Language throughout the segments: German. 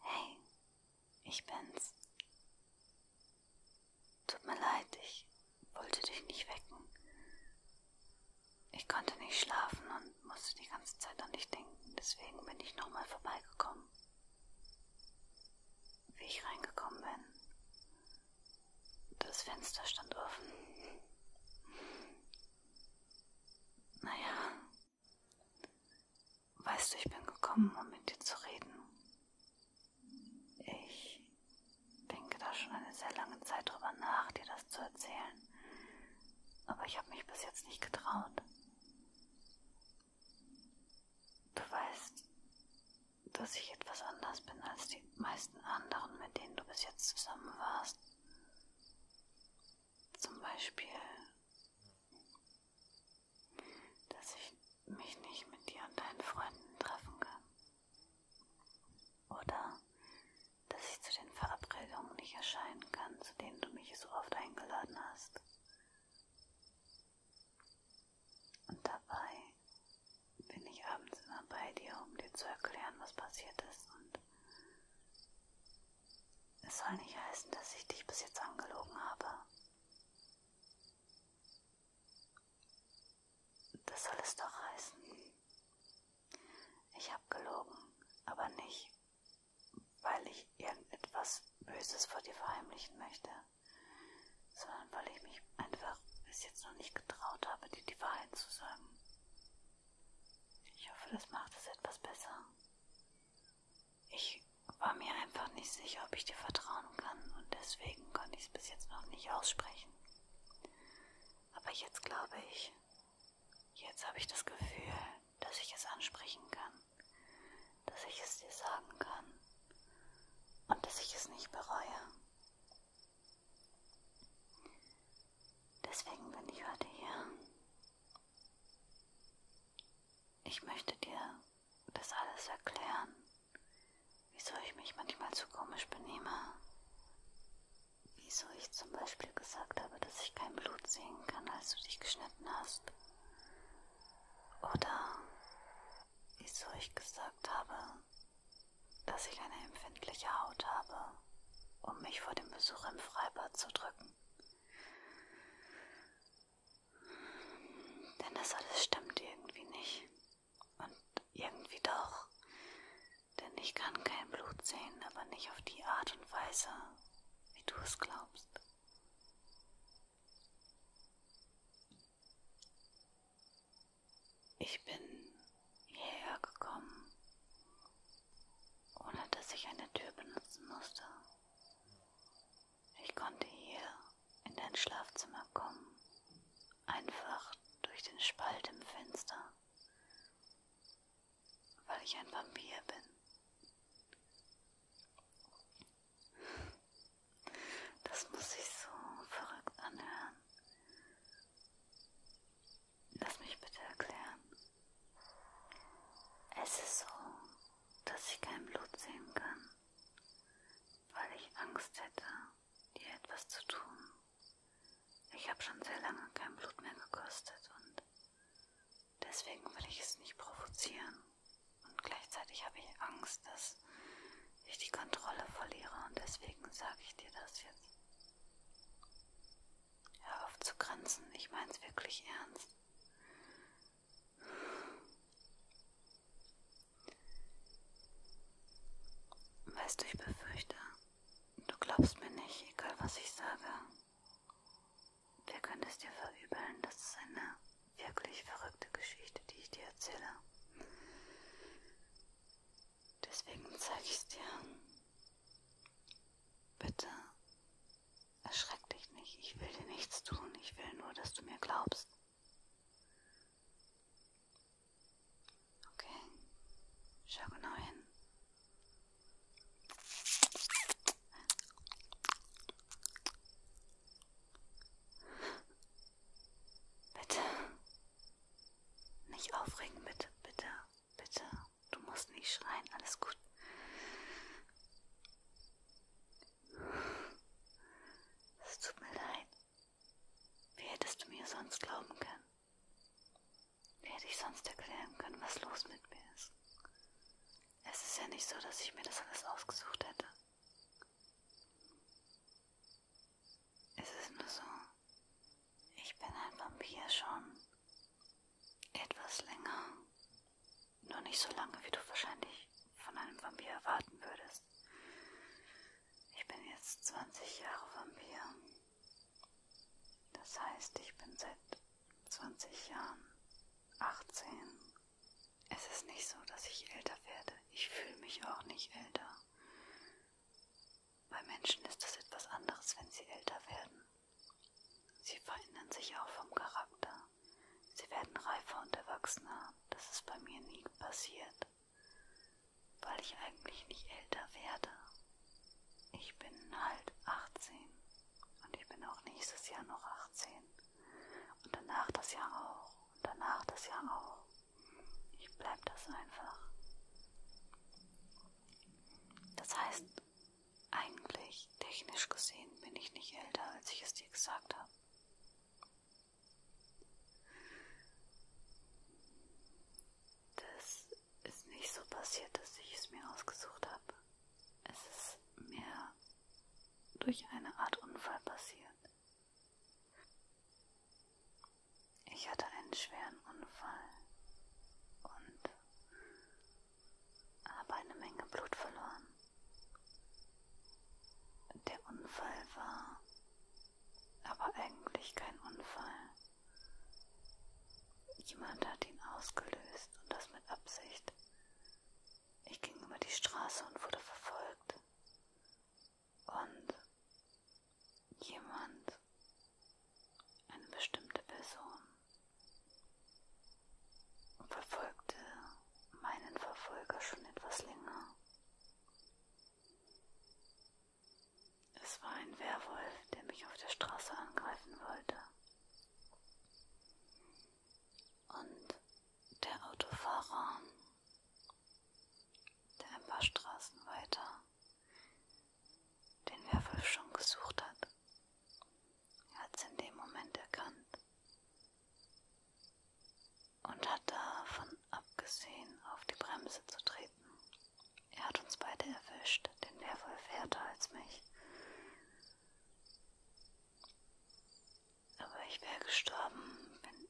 Hey, ich bin's. Tut mir leid, ich wollte dich nicht wecken. Ich konnte nicht schlafen und musste die ganze Zeit an dich denken, deswegen bin ich nochmal vorbeigekommen. Wie ich reingekommen bin, das Fenster stand offen. Naja. Weißt du, ich bin gekommen, um mit dir zu reden. Ich denke da schon eine sehr lange Zeit drüber nach, dir das zu erzählen. Aber ich habe mich bis jetzt nicht getraut. Du weißt, dass ich etwas anders bin als die meisten anderen, mit denen du bis jetzt zusammen warst. Zum Beispiel, dass ich mich nicht mit dir und deinen Freunden treffen kann. Oder dass ich zu den Verabredungen nicht erscheinen kann, zu denen du mich so oft eingeladen hast. Und dabei bin ich abends immer bei dir, um dir zu erklären, was passiert ist. Und es soll nicht heißen, dass ich dich bis jetzt angelogen habe. Das soll es doch heißen. Ich habe gelogen, aber nicht, weil ich irgendetwas Böses vor dir verheimlichen möchte sondern weil ich mich einfach bis jetzt noch nicht getraut habe, dir die Wahrheit zu sagen. Ich hoffe, das macht es etwas besser. Ich war mir einfach nicht sicher, ob ich dir vertrauen kann und deswegen konnte ich es bis jetzt noch nicht aussprechen. Aber jetzt glaube ich, jetzt habe ich das Gefühl, dass ich es ansprechen kann, dass ich es dir sagen kann und dass ich es nicht bereue. Deswegen bin ich heute hier. Ich möchte dir das alles erklären, wieso ich mich manchmal zu komisch benehme. Wieso ich zum Beispiel gesagt habe, dass ich kein Blut sehen kann, als du dich geschnitten hast. Oder wieso ich gesagt habe, dass ich eine empfindliche Haut habe, um mich vor dem Besuch im Freibad zu drücken. Denn das alles stimmt irgendwie nicht. Und irgendwie doch. Denn ich kann kein Blut sehen, aber nicht auf die Art und Weise, wie du es glaubst. Ich bin hierher gekommen, ohne dass ich eine Tür benutzen musste. Ich konnte hier in dein Schlafzimmer kommen, einfach durch den Spalt im Fenster, weil ich ein Vampir bin. Das muss sich so verrückt anhören. Lass mich bitte erklären. Es ist so, dass ich kein Blut sehen kann, weil ich Angst hätte, dir etwas zu tun. Ich habe schon sehr lange kein Blut mehr gekostet und deswegen will ich es nicht provozieren. Und gleichzeitig habe ich Angst, dass ich die Kontrolle verliere und deswegen sage ich dir das jetzt. Hör auf zu grenzen, ich mein's wirklich ernst. Weißt du, ich befürchte, du glaubst mir nicht, egal was ich sage. Wer könnte es dir verübeln, dass es eine wirklich verrückte Geschichte, die ich dir erzähle. Deswegen zeige ich es dir. Bitte erschreck dich nicht. Ich will dir nichts tun. Ich will nur, dass du mir glaubst. Okay. Schau genau hin. Bitte. Nicht aufregen, bitte, bitte, bitte. Du musst nicht schreien, alles gut. Es tut mir leid. Wie hättest du mir sonst glauben können? Wie hätte ich sonst erklären können, was los mit mir ist? Es ist ja nicht so, dass ich mir das alles ausgesucht hätte. Es ist nur so, ich bin ein Vampir schon etwas länger. Nur nicht so lange, wie du wahrscheinlich von einem Vampir erwarten würdest. Ich bin jetzt 20 Jahre Vampir. Das heißt, ich bin seit 20 Jahren 18 es ist nicht so, dass ich älter werde. Ich fühle mich auch nicht älter. Bei Menschen ist das etwas anderes, wenn sie älter werden. Sie verändern sich auch vom Charakter. Sie werden reifer und erwachsener. Das ist bei mir nie passiert, weil ich eigentlich nicht älter werde. Ich bin halt 18 und ich bin auch nächstes Jahr noch 18 und danach das Jahr auch und danach das Jahr auch. Ich bleib das einfach. Das heißt, eigentlich, technisch gesehen, bin ich nicht älter, als ich es dir gesagt habe. Das ist nicht so passiert, dass ich es mir ausgesucht habe. Es ist mir durch eine Art Unfall passiert. Ich hatte einen schweren Unfall und habe eine Menge Blut verloren. Der Unfall war aber eigentlich kein Unfall. Jemand hat ihn ausgelöst und das mit Absicht. Ich ging über die Straße und wurde verfolgt und jemand, eine bestimmte Person, verfolgte meinen Verfolger schon etwas länger. Es war ein Werwolf, der mich auf der Straße angreifen wollte. Und der Autofahrer der ein paar Straßen weiter den Werwolf schon gesucht hat. Er hat es in dem Moment erkannt und hat davon abgesehen, auf die Bremse zu treten. Er hat uns beide erwischt, den Werwolf härter als mich. Aber ich wäre gestorben, wenn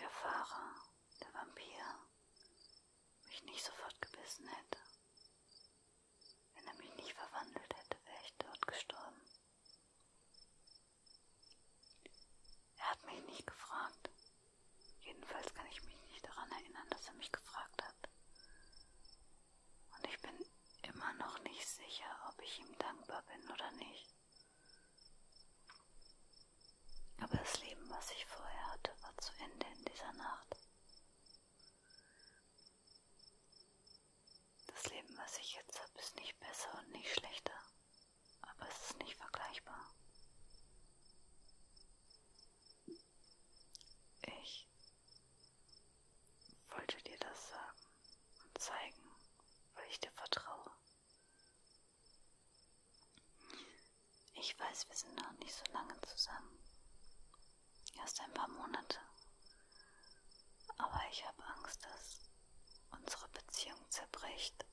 der Fahrer, der Vampir, mich nicht sofort gebissen hätte. Wenn er mich nicht verwandelt hätte, wäre ich dort gestorben. Er hat mich nicht gefragt. Jedenfalls kann ich mich nicht daran erinnern, dass er mich gefragt hat. Und ich bin immer noch nicht sicher, ob ich ihm dankbar bin oder nicht. Aber das Leben, was ich vorher hatte, war zu Ende in dieser Nacht. Das Leben, was ich jetzt habe, ist nicht besser und nicht schlechter, aber es ist nicht vergleichbar. Ich wollte dir das sagen und zeigen, weil ich dir vertraue. Ich weiß, wir sind noch nicht so lange zusammen. Erst ein paar Monate. Aber ich habe Angst, dass unsere Beziehung zerbricht,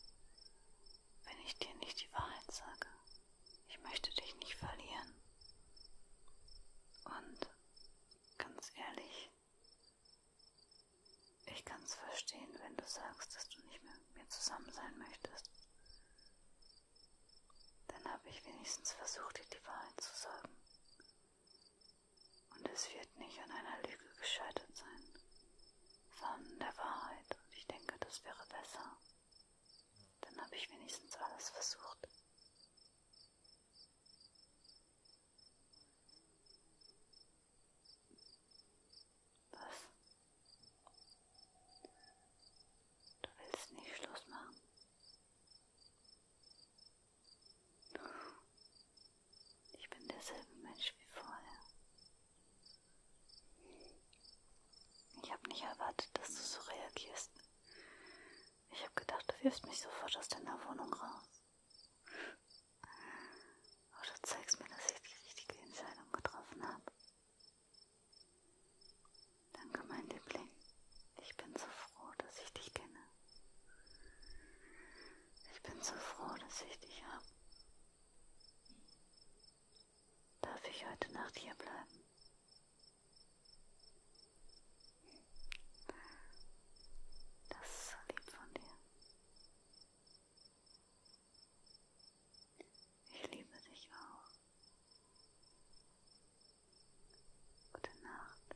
wenn ich dir nicht die Wahrheit sage. Ich möchte dich nicht verlieren. Und ganz ehrlich, ich kann es verstehen, wenn du sagst, dass du nicht mehr mit mir zusammen sein möchtest. Dann habe ich wenigstens versucht, dir die Wahrheit zu sagen. Und es wird nicht an einer Lüge gescheitert sein, sondern der Wahrheit. Und ich denke, das wäre besser. Dann habe ich wenigstens alles versucht. Was? Du willst nicht Schluss machen? Ich bin derselbe Mensch wie vorher. Ich habe nicht erwartet, dass du so reagierst. Ich habe gedacht, du wirfst mich sofort aus deiner Wohnung raus. Aber du zeigst mir, dass ich die richtige Entscheidung getroffen habe. Danke, mein Liebling. Ich bin so froh, dass ich dich kenne. Ich bin so froh, dass ich dich habe. Darf ich heute Nacht hier bleiben? Das ist so lieb von dir. Ich liebe dich auch. Gute Nacht.